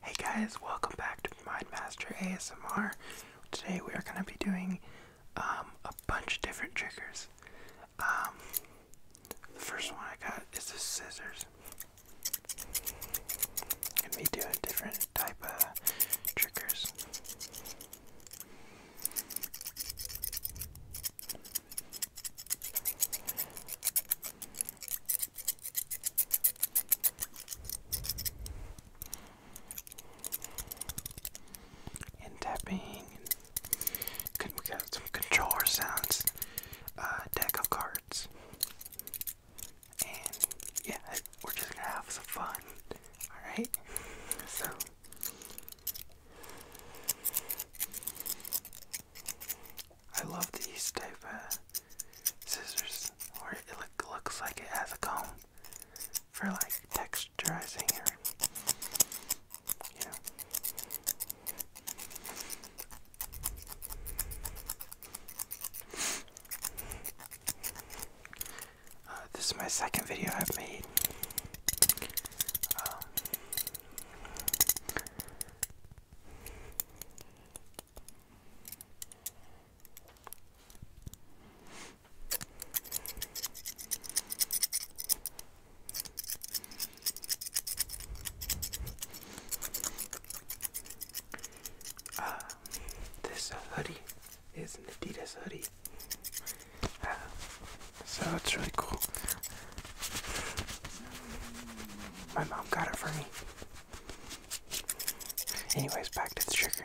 Hey guys, welcome back to Mindmaster ASMR. Today we are going to be doing um, a bunch of different triggers. Um, the first one I got is the scissors. I'm going to be doing different type of triggers and tapping. And we got some controller sounds, uh, deck of cards, and yeah, we're just gonna have some fun. All right, so. I love these type of scissors where it looks like it has a comb for like texturizing or you uh, this is my second video I've made. Um, uh, this hoodie is an Adidas hoodie. Ah, so it's really cool. My mom got it for me. Anyways, back to the trigger.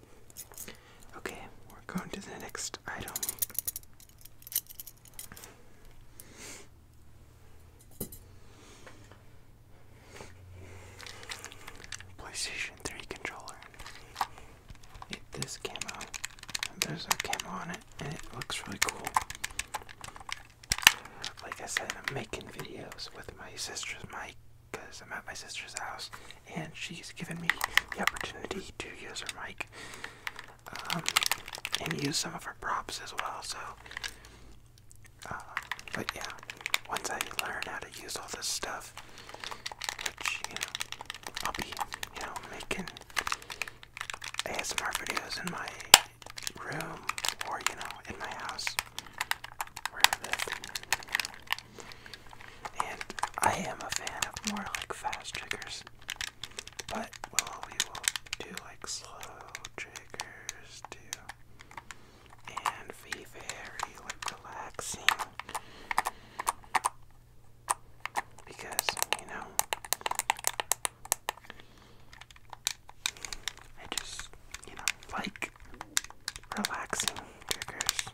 Okay, we're going to the next item. PlayStation 3 controller. It, this camo. There's a camo on it, and it looks really cool. Like I said, I'm making videos with my sister's mic because I'm at my sister's house and she's given me the opportunity to use her mic um, and use some of her props as well. So, uh, but yeah, once I learn how to use all this stuff, which you know, I'll be you know making ASMR videos in my room or you know in my house where I and I am a fan of more like fast triggers. But well, we will do like slow triggers too. And be very like relaxing. Because, you know, I just, you know, like relaxing triggers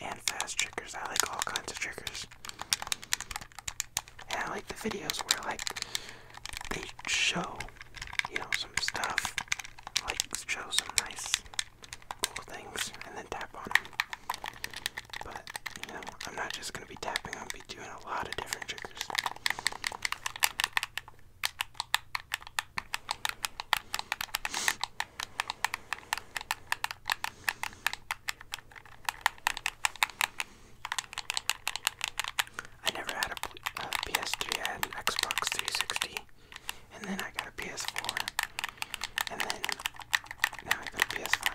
and fast triggers. I like all kinds of triggers. And I like the videos where like they show, you know, some stuff, like show some nice cool things, and then tap on them. But you know, I'm not just gonna be tapping. I'm gonna be doing a lot of different triggers. I never had a, PS3, I had an Xbox 360, and then I got a PS4, and then now I got a PS5.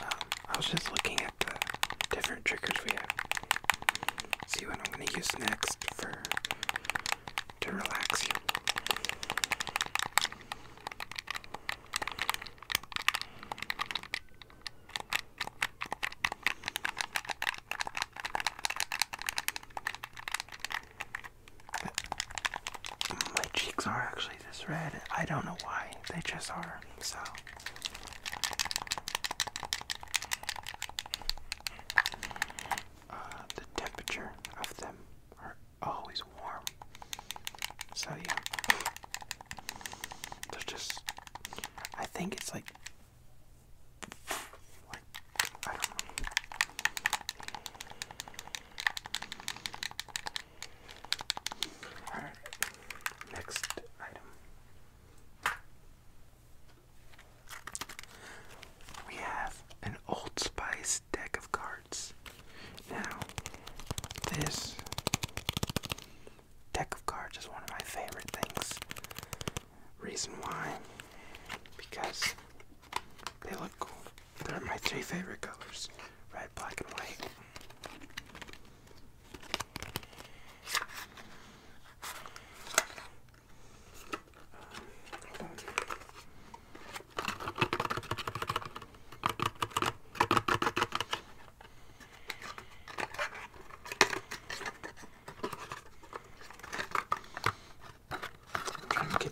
Um, I was just looking at the different triggers we have. See what I'm gonna use next for to relax you my cheeks are actually this red. I don't know why. They just are. So. Uh, the temperature of them are always warm. So yeah. There's just I think it's like like I don't know. Alright, next item. We have an Old Spice deck of cards. Now, this deck of cards is one of my favorite things. Reason why? Because they look cool. They're my three favorite colors red, red, black, and white. Um, hold on. I'm trying to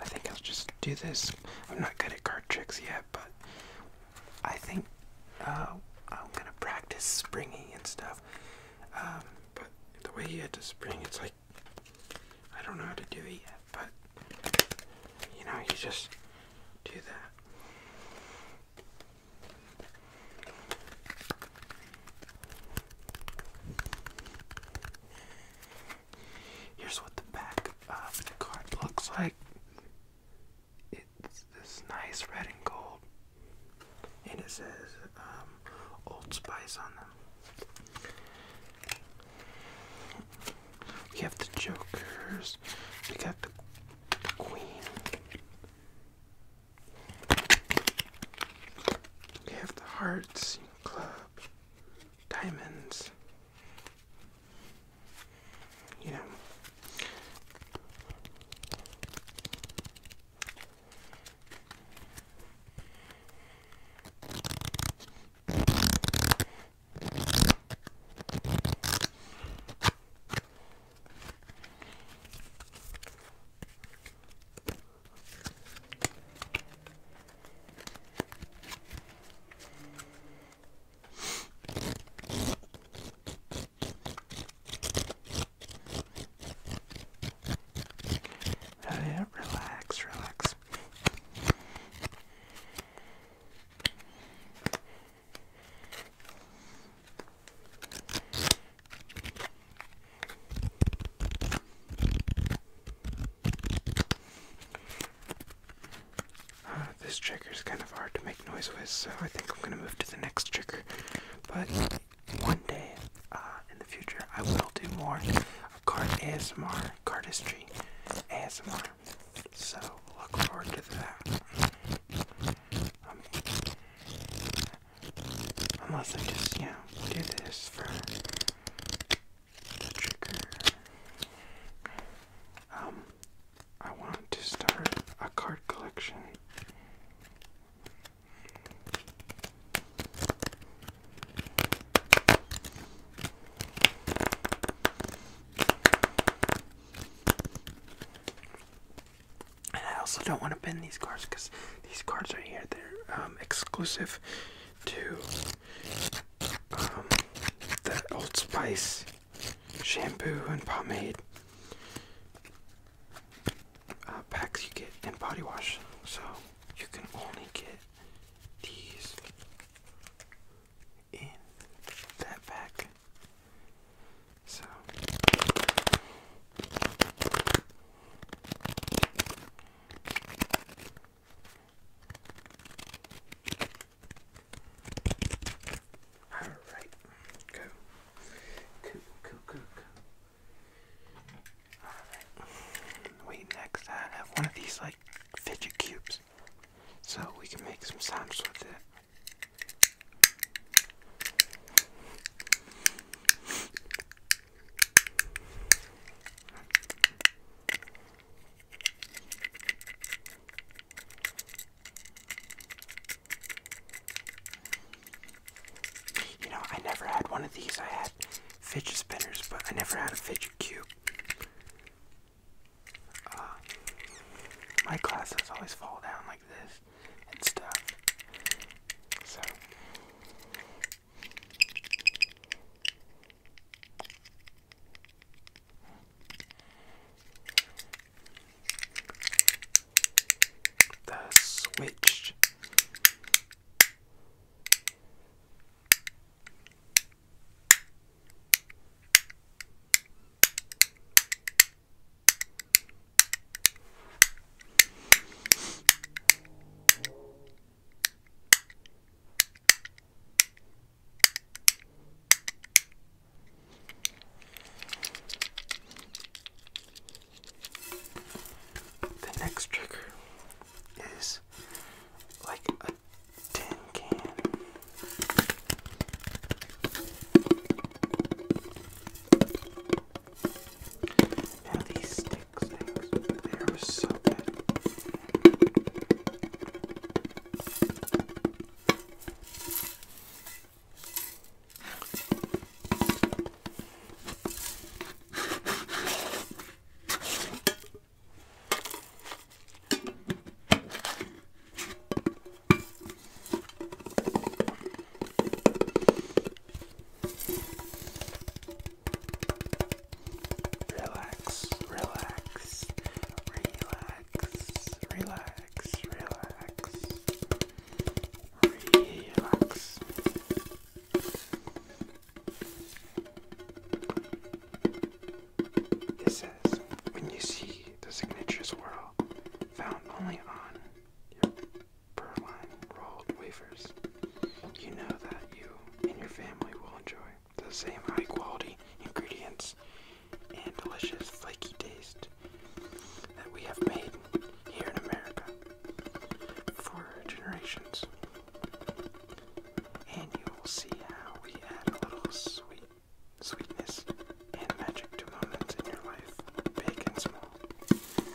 I think I'll just do this. I'm not good at card tricks yet, but I think uh, I'm gonna practice springy and stuff. Um, but the way you had to spring, it's like I don't know how to do it yet, but you know, you just do that. Here's what the back of the card looks like. It's this nice red and gold, and it says um, Old Spice on them. We have the Jokers, we got the Queen, we have the hearts, club, diamonds. You know. Uh, yeah, relax, relax. this trigger is kind of hard to make noise with, so I think I'm gonna move to the next trigger. But one day uh, in the future, I will do more card ASMR, cardistry ASMR. So look forward to that. Um, Unless I just, you know, do this for the trigger. Um, I want to start a card collection. And I also don't want to bend these cards because these cards are here, they're um, exclusive to um, the Old Spice shampoo and pomade uh, packs you get and body wash. So you can only get these in that pack. So all right, go, go, go, go, go. All right. Wait, next I have one of these like fidget cubes, so we can make some sounds with it. You know, I never had one of these. I had fidget spinners, but I never had a fidget cube. Uh, my glasses always fall down like this and stuff. the switch. The next trigger is like a tin can. Now these stick things, they are so good. Relax, relax, relax, relax, relax, relax. It says, when you see the signature swirl found only on your Perline rolled wafers. You know that you and your family will enjoy the same high quality ingredients and delicious flaky taste that we have made here in America for generations. And you will see how we add a little sweet sweetness and magic to moments in your life, big and small.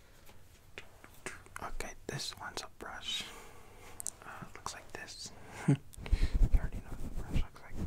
Okay, this one's a brush. looks like this. you already know the brush looks like.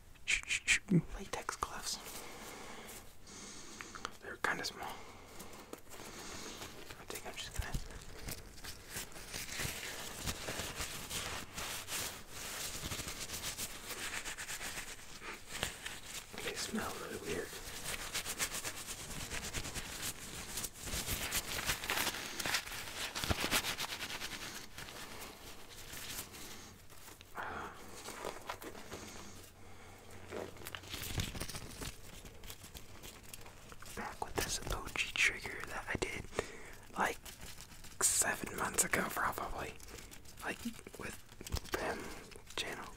latex gloves. They're kind of small. They smell really weird back with this OG trigger that I did like seven months ago, probably. Like with Pam channel.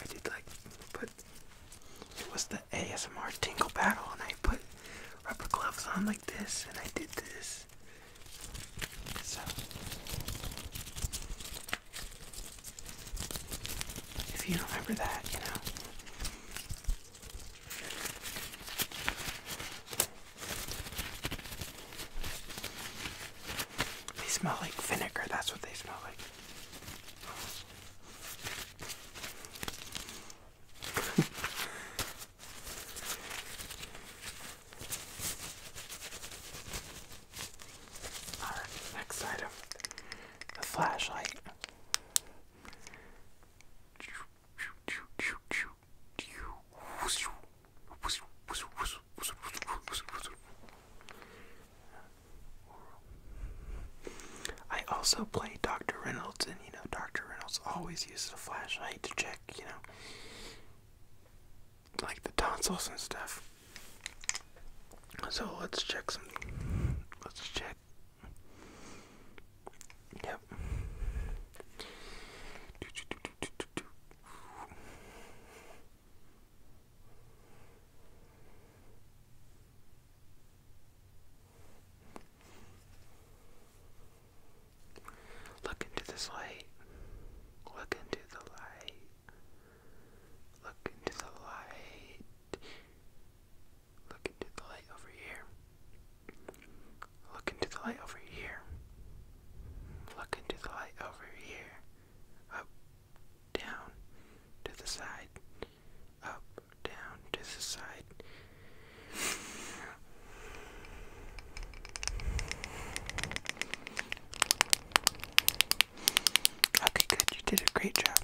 I did like put it was the ASMR Tingle Battle, and I put rubber gloves on like this, and I did this. if you remember that, you know. They smell like vinegar, that's what they smell like. Alright, next item the flashlight. I also play Dr. Reynolds, and you know, Dr. Reynolds always always use the flashlight to check, you know, like the tonsils and stuff. So let's check some. Let's check. Yep. Look into this light. Look into the light. Look into the light. Look into the light over here. Look into the light over here. Look into the light over here. Up, down, to the side. Up, down, to the side. Okay, good. You did a great job.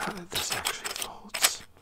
Uh, this actually folds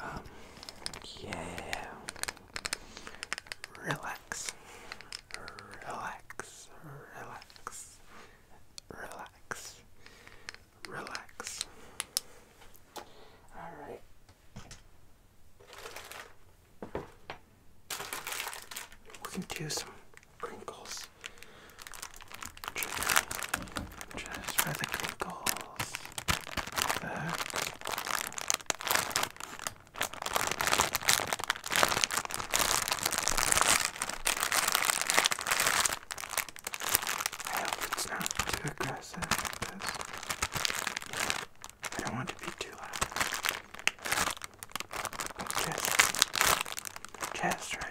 Um, yeah. Relax. Relax. Relax. Relax. Relax. All right. We can do some crinkles. Just, for the crinkles. I hope it's not too aggressive because I don't want to be too loud. Chest. Chest right. Chest right.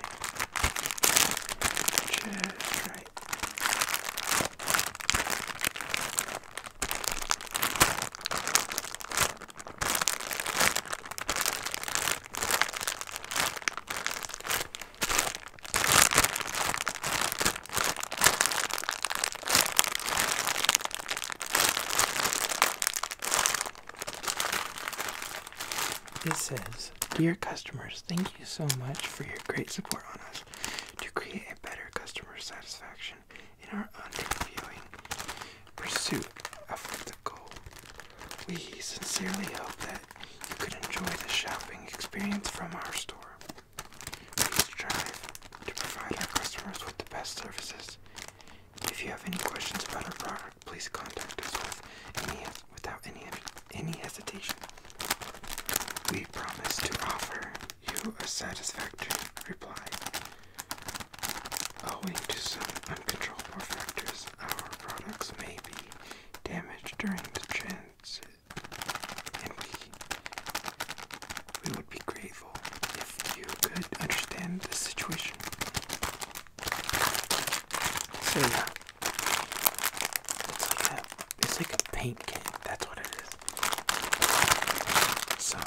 This is, Dear customers, thank you so much for your great support on us. To create a better customer satisfaction in our unreviewing pursuit of the goal, we sincerely hope that you could enjoy the shopping experience from our store. We strive to provide our customers with the best services if you have any questions about our product, please contact us with any, without any, any hesitation. We promise to offer you a satisfactory reply. Owing to some uncontrollable factors, our products may be damaged during the transit, and we, we would be grateful if you could understand the situation. So yeah, it's like a, paint can. That's what it is. So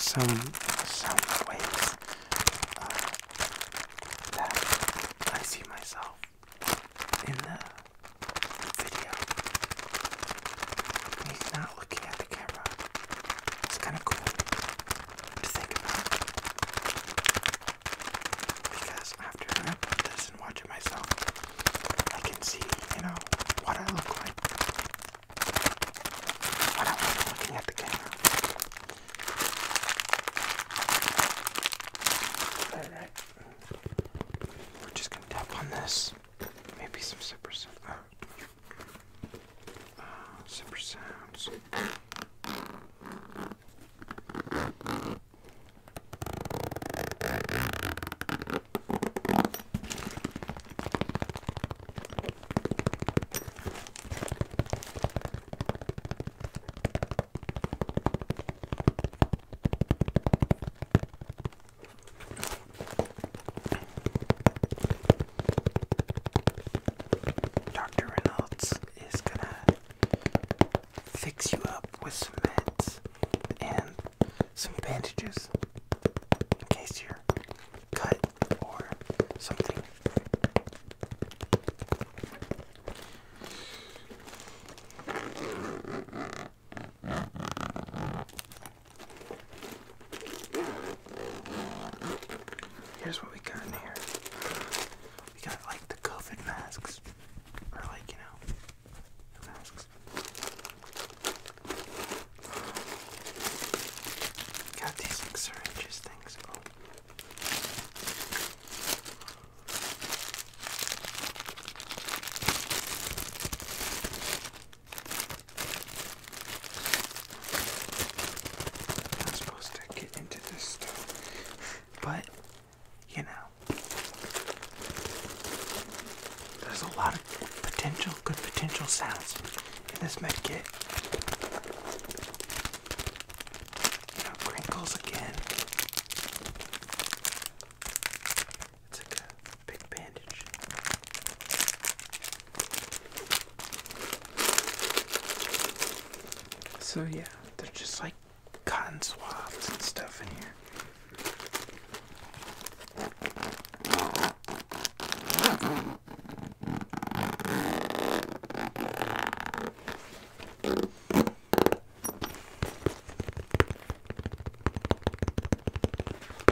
some sound waves uh, that I see myself in the video. He's not not looking at the camera. It's kind of cool to think about. Because after I this and watch myself, I can see, you know, what I look like I'm not looking at the camera. Alright. We're just gonna tap on this. Maybe some zippers. Uh, zipper sounds. Dr. Reynolds is gonna fix you up with some meds and some bandages in case you're cut or something. Here's what we got in here. We got like the COVID masks, or like you know, the masks. Got these like syringes things. Oh. I'm not supposed to get into this stuff, but you know, there's a lot of potential, good potential sounds in this med kit. crinkles again. It's like a big bandage. So yeah, they're just like cotton swabs and stuff in here.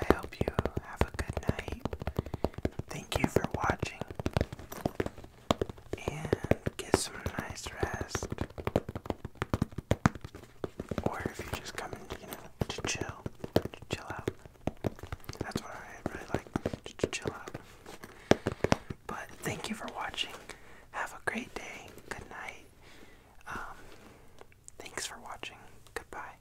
I hope you have a good night. Thank you for watching. And get some nice rest. Or if you're just coming, you know, to chill, chill out. That's what I really like, to chill out. But thank you for watching. Have a great day. Good night. Um, thanks for watching. Goodbye.